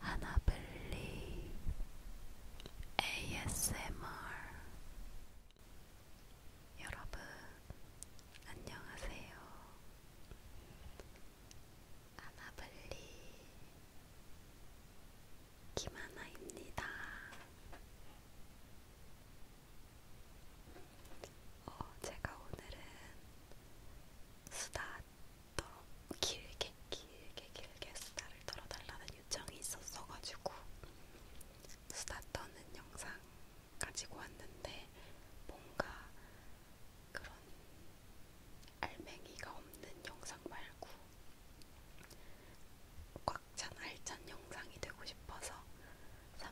하나블리 ASMR 여러분 안녕하세요. 하나블리 김하나입니다. 어, 제가 오늘은 수다 떨어 길게 길게 길게 수다를 떨어달라는 요청이 있었어가지고 수다 떠는 영상 가지고 왔는데 뭔가 그런 알맹이가 없는 영상 말고 꽉 찬 알찬 영상이 되고 싶어서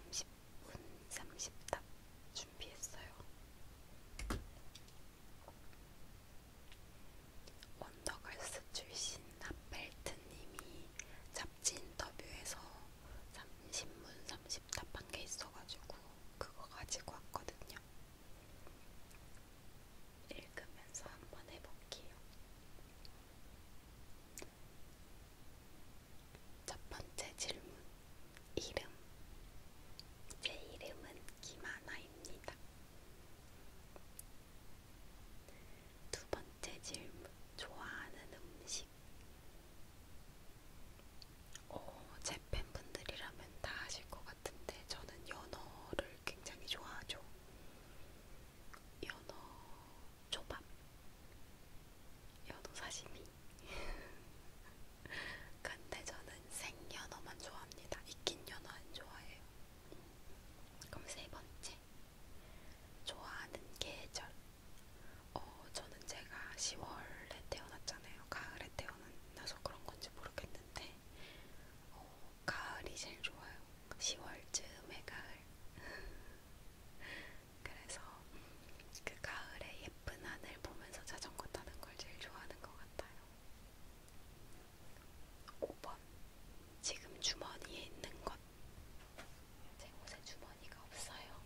30분 30답 준비했어요. 원더걸스 출신 나펠트님이 잡지 인터뷰에서 30문 30답 한게 있어가지고 그거 가지고 왔거든요. 읽으면서 한번 해볼게요. 첫 번째 질문. 이름. 제 이름은 김하나입니다. 두 번째 질문. 좋아하는 음식. 오, 어, 제 팬분들이라면 다 아실 것 같은데 저는 연어를 굉장히 좋아하죠. 연어 초밥, 연어 사시미, 근데 저는 생연어만 좋아합니다. 익힌 연어 안 좋아해요. 그럼 세 번째. 좋아하는 계절. 어, 저는 제가 10월에 태어났잖아요. 가을에 태어나서 그런 건지 모르겠는데, 어, 가을이 제일 좋아요. 10월쯤에 가을. 그래서 그 가을에 예쁜 하늘 보면서 자전거 타는 걸 제일 좋아하는 것 같아요. 5번. 지금 주머니에 있는 것. 제 옷에 주머니가 없어요.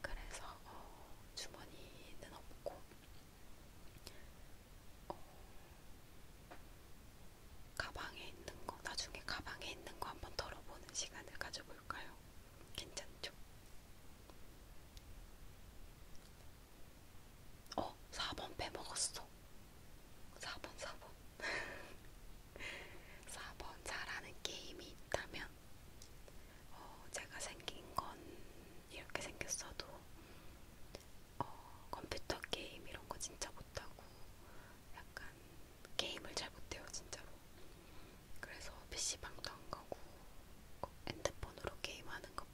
그래서 어, 주머니는 없고 어, 가방에 있는 거 나중에 가방에 있는 거 한번 털어보는 시간을 가져볼까요? 괜찮죠? 어, 4번 빼먹었어. 4번, 4번. 4번 잘하는 게임이 있다면, 어, 제가 생긴 건 이렇게 생겼어도, 어, 컴퓨터 게임 이런 거 진짜 못하고, 약간 게임을 잘 못해요, 진짜로. 그래서 PC방도 안 가고 그 핸드폰으로 게임하는 거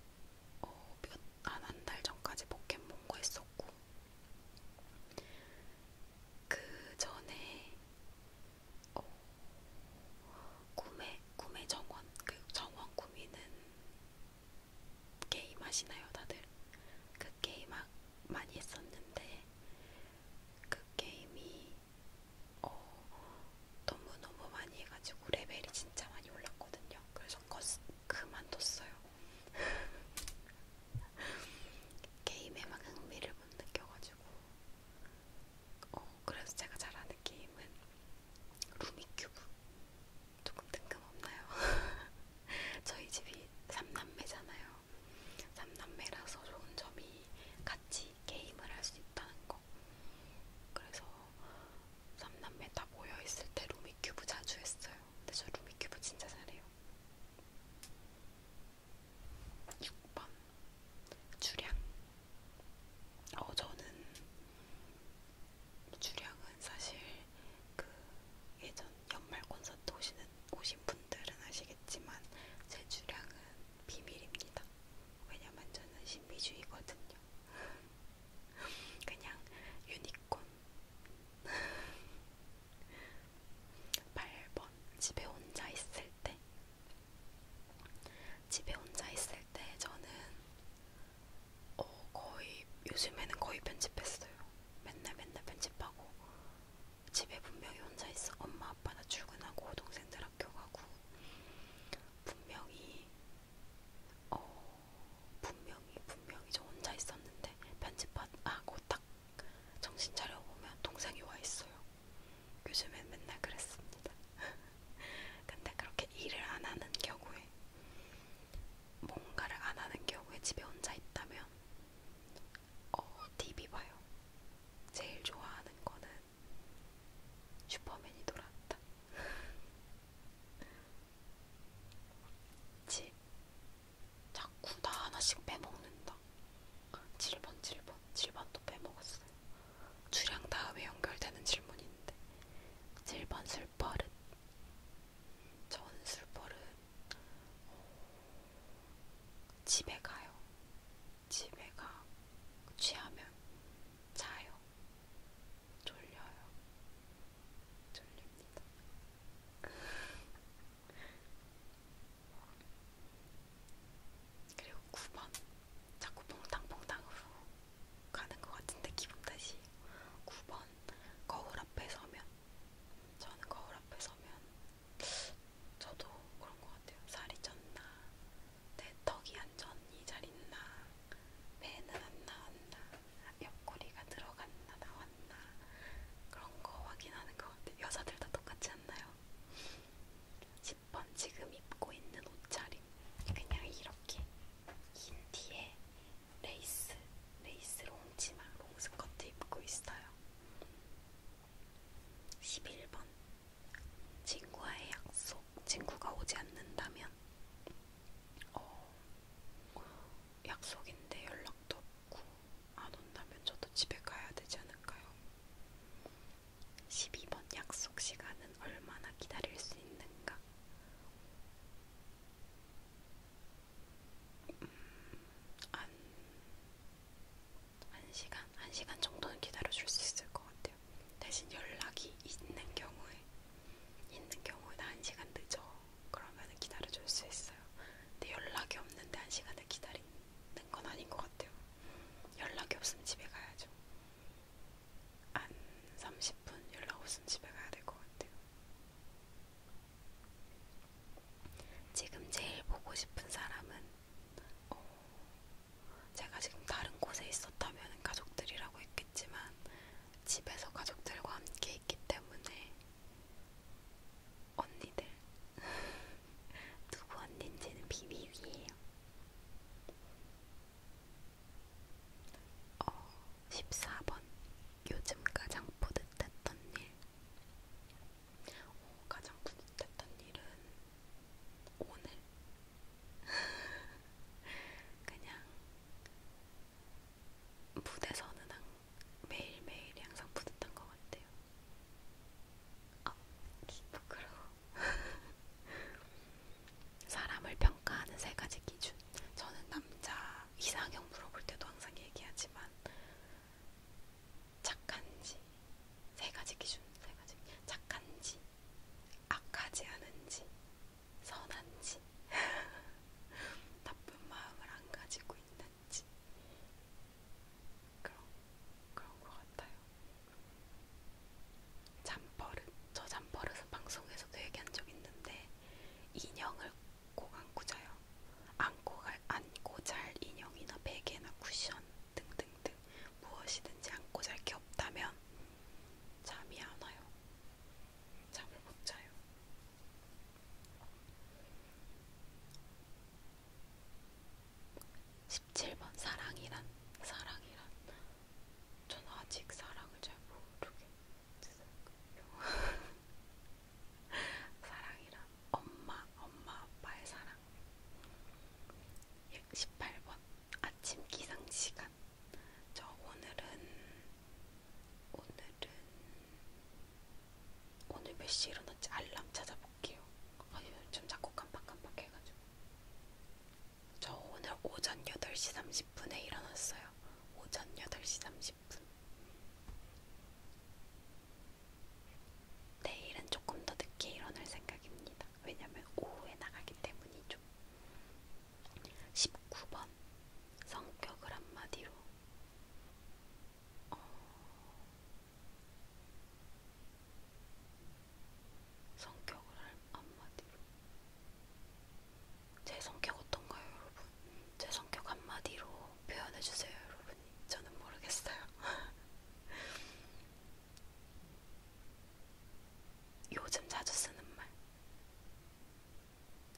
어, 몇안한 달 전까지 포켓몬고 했었고 그 전에 어, 구매 구매 정원 그 정원 구미는 게임 하시나요 다들? 그 게임 많이 했었는데 그 게임이 어, 너무너무 많이 해가지고 레벨이 진짜 많이 올랐거든요. 그래서 거스, 그만뒀어요. 게임에 막 흥미를 못 느껴가지고. 어, 그래서 제가 잘하는 게임은 루미큐브. 조금 뜬금없나요? 저희 집이 3남매잖아요. 3남매라서 좋은 점이 같이 게임을 할 수 있다는 거. 그래서 3남매 다 모여있을 때 루미큐브 자주 했어요. 근데 저 루미큐브 진짜 잘해요. 6번. 주량. 어, 저는 주량은 사실 그 예전 연말 콘서트 오시는 오신 분들은 아시겠지만 제 주량은 비밀입니다. 왜냐면 저는 신비주의거든요. 그냥 유니콘 8번 집에 혼자 있을 때 집에 혼자 있을 때 저는 어, 거의 요즘에는 거의 편집했어요. 맨날 맨날 편집하고 집에 분명히 혼자 있어. 엄마 아빠 나 출근하고 동생들 학교 가고 분명히 어 분명히 분명히 저 혼자 있었는데 편집하고 아, 딱 정신 차려 보면 동생이 와 있어요. 요즘엔 맨날 그랬습니다. 근데 그렇게 일을 안 하는 경우에 뭔가를 안 하는 경우에 집에 혼자 있다면 어, TV 봐요. 제일 좋아하는 거는 슈퍼맨이 돌아왔다. 지 자꾸 나 하나씩 빼먹는다. 7번, 7번, 7번도 빼먹었어요. 주량 다음에 연결되는 질문인데 7번 술버릇 전 술버릇 집에 가요. 집에 가. 취하면 자요. 졸려요. 졸립니다. 그리고 9번. 자꾸 퐁당퐁당으로 가는 것 같은데 기분 탓이 9번. 거울 앞에 서면. 저는 거울 앞에 서면 저도 그런 것 같아요. 살이 쪘나, 내 턱이 안 쪘니, 잘 있나, 배는 안 나왔나, 옆구리가 들어갔나, 나왔나, 그런 거 확인하는 것 같아요. 여자들 다 똑같지 않나요? 10번 지금 입고 있는 옷차림. 그냥 이렇게 긴 뒤에 레이스, 레이스 롱치마, 롱스커트 입고 있어요. 11번 친구와의 약속 친구가 오지 않는다면 어, 약속인데 연락도 없고 안 온다면 저도 집에 가야 되지 않을까요? 12번 약속 시간은 얼마나 기다릴 수 있는가? 한, 한 시간, 한 시간 정도는 기다려줄 수 있을 것 같아요. 대신 연락이 있는 경우에, 있는 경우에 나한 시간 늦어. 그러면은 기다려줄 수 있어요. 근데 연락이 없는데 한 시간을 기다리는 건 아닌 것 같아요. 연락이 없으면 집에 가야죠. 한 30분 연락 없으면 집에 가야 될 것 같아요. 지금 제일 보고 싶은 사람은 어, 제가 지금 다른 곳에 있었다면 가족들이라고 했겠지만 집에서 가족들과 함께 있기 때문에 언니들 누구 언니인지는 비밀이에요. 어, 14번 요즘 가장 뿌듯했던 일 오, 가장 뿌듯했던 일은 오늘 그냥 무대서는 매일매일이 항상 뿌듯한 것 같아요 아, 부끄러워 사람을 평가하는 세 가지 기준 저는 남자 이상형 물어볼 때도 항상 얘기하지만 착한지 세 가지 기준 세 가지 착한지 악하지 않은지 선한지 나쁜 마음을 안 가지고 있는지 그런 그런 것 같아요. 잠버릇 저 잠버릇은 방송에서도 얘기한 적 있는데 인형을 꼭 안고 자요. 안고, 갈, 안고 잘 인형이나 베개나 쿠션 등등등 무엇이든지 안고 잘 게 없다면 잠이 안 와요. 잠을 못 자요. 십칠 번 사랑이란 사랑이란 저는 아직 사랑을 잘 모르겠어요. 사랑이란 엄마, 엄마, 아빠의 사랑. 18번 예, 아침 기상 시간. 저 오늘은 오늘은 오늘 몇 시에 일어났지? 알람 찾아볼게요. 아, 요즘 자꾸 깜빡깜빡 해가지고. 저 오늘 오전 8시 30분에 일어났어요. 오전 8시 30분. 10분. 내일은 조금 더 늦게 일어날 생각입니다. 왜냐면 오후에 나가기 때문이죠. 19번. 성격을 한마디로. 어... 성격을 한마디로. 제 성격 어떤가요, 여러분? 제 성격 한마디로 표현해주세요, 여러분. 저는 모르겠어요. 요즘 자주 쓰는 말.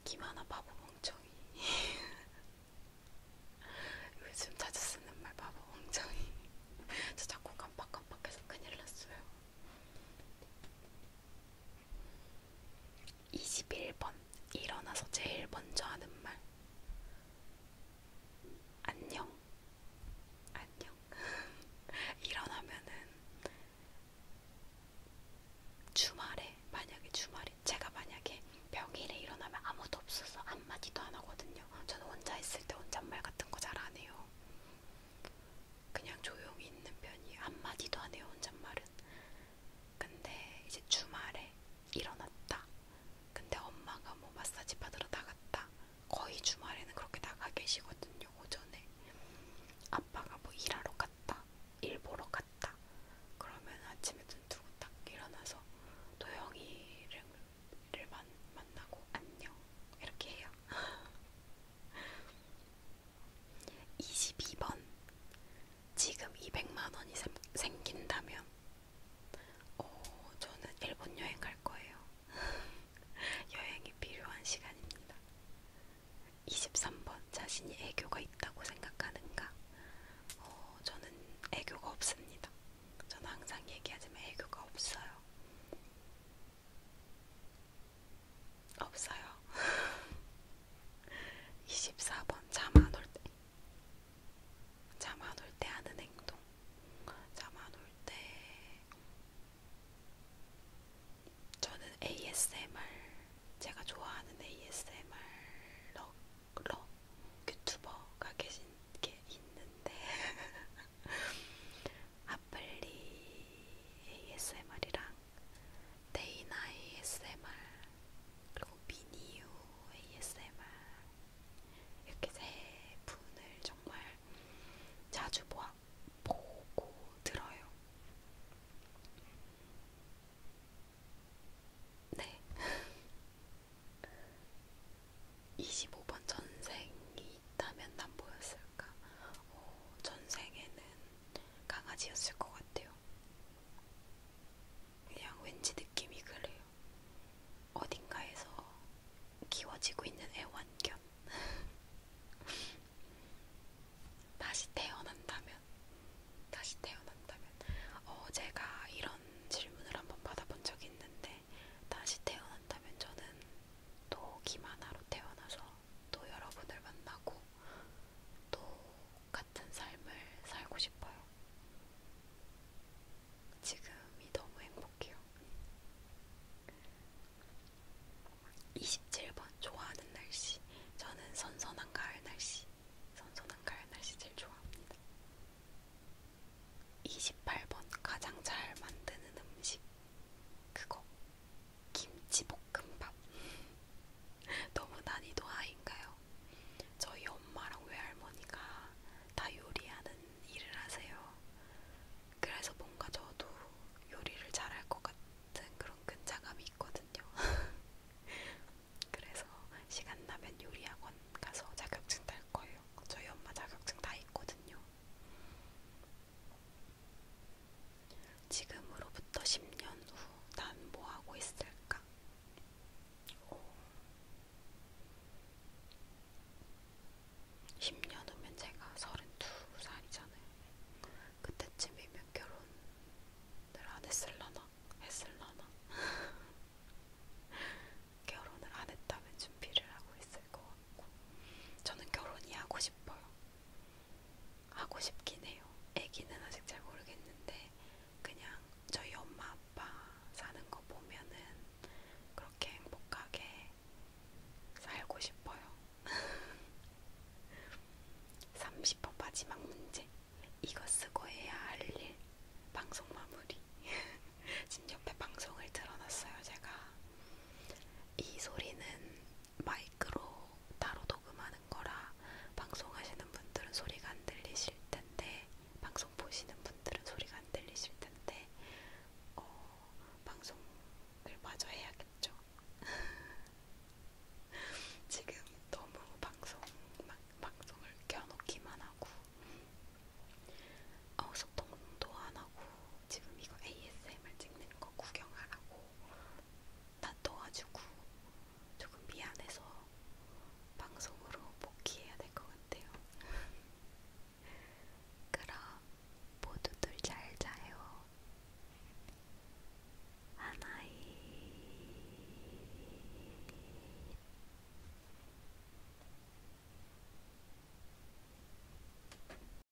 김하나 바보 멍청이. 요즘 자주 쓰는 말 바보 멍청이. 저 자꾸 깜빡깜빡해서 큰일 났어요. 21번. 일어나서 제일 먼저 하는 말. 안녕. 안녕. 일어나면은 주말에 만약에 주말에 제가 만약에 평일에 일어나면 아무도 없어서 한마디도 안 하거든요. 저는 혼자 있을 때 혼잣말 같은 거 잘 안 해요. 그냥 조용히 있는 편이에요. 한마디도 안 해요. 혼잣말은. 근데 이제 주말에 일어났다. 근데 엄마가 뭐 마사지 받으러 나갔다. 거의 주말에는 그렇게 나가 계시거든요. 오전에 아빠가 뭐 일하러 갔다, 일 보러 갔다. 그러면 아침에 눈 뜨고 딱 일어나서 도영이를 만, 만나고 안녕 이렇게 해요. 22번 지금 200만 원이 생, 생긴다면 오, 어, 저는 일본 여행 갈 거예요. 여행이 필요한 시간입니다. 23번 자신이 애교가 있다고 생각하는가? 어, 저는 애교가 없습니다. 저는 항상 얘기하지만 애교가 없어요. 없어요. 24번 잠 안 올때잠 안 올 때 하는 행동 잠 안 올 때 저는 ASMR 제가 좋아하는 ASMR 럭럭 유튜버가 계신 게 있는데 아플리 ASMR이랑 데이나 ASMR 그리고 미니유 ASMR 이렇게 세 분을 정말 자주 보아, 보고 들어요. 네. 25번 전생이 있다면 난 뭐였을까? 어, 전생에는 강아지였을 것 같아요. 그냥 왠지 느낌이 그래요. 어딘가에서 키워지고 있는 애완견. 다시 태어난다면, 다시 태어난다면, 어, 제가 이런 질문을 한번 받아본 적이 있는데, 다시 태어난다면 저는 또 기만화로 태어나서 또 여러분을 만나고 또 같은 삶을 살고 싶어요. 지금이 너무 행복해요. 27번 좋아하는 날씨. 저는 선선한 가을 날씨. 선선한 가을 날씨 제일 좋아합니다. 28번 가장 잘 만드는 음식. 그거 김치볶음밥 너무 난이도 하인가요? 저희 엄마랑 외할머니가 다 요리하는 일을 하세요. 그래서 뭔가 저도 요리를 잘할 것 같은 그런 근자감이 있거든요. 그래서 시간 나면 요리학원 가서 자격증 딸 거예요. 저희 엄마 자격증 다 있거든요. 지금으로부터 10년 후 난 뭐하고 있을까? 오. 10년 후면 제가 32살이잖아요. 그때쯤이면 결혼을 안 했을라나? 했을라나? 결혼을 안 했다면 준비를 하고 있을 것 같고 저는 결혼이 하고 싶어요. 하고 싶긴 해요. 아기는 아직 잘 모르겠는데 그냥 저희 엄마 아빠 사는 거 보면은 그렇게 행복하게 살고 싶어요. 30번 마지막 문제. 이거 쓰고 해야 할 일. 방송 마무리. 지금 옆에 방송을 틀어놨어요, 제가. 이 소리는 마이크로 따로 녹음하는 거라 방송하시는 분들은 소리가 안 들리실 텐데 방송 보시는 분들은 소리가 안 들리실 텐데 어, 방송을 마저 해야겠죠. 지금 너무 방송 막, 방송을 껴놓기만 하고 어, 소통도 안 하고 지금 이거 ASMR 찍는 거 구경하라고 다퉈가지고 조금 미안해서 방송으로 복귀해야 될 것 같아요. 그럼 모두들 잘 자요. 하나이.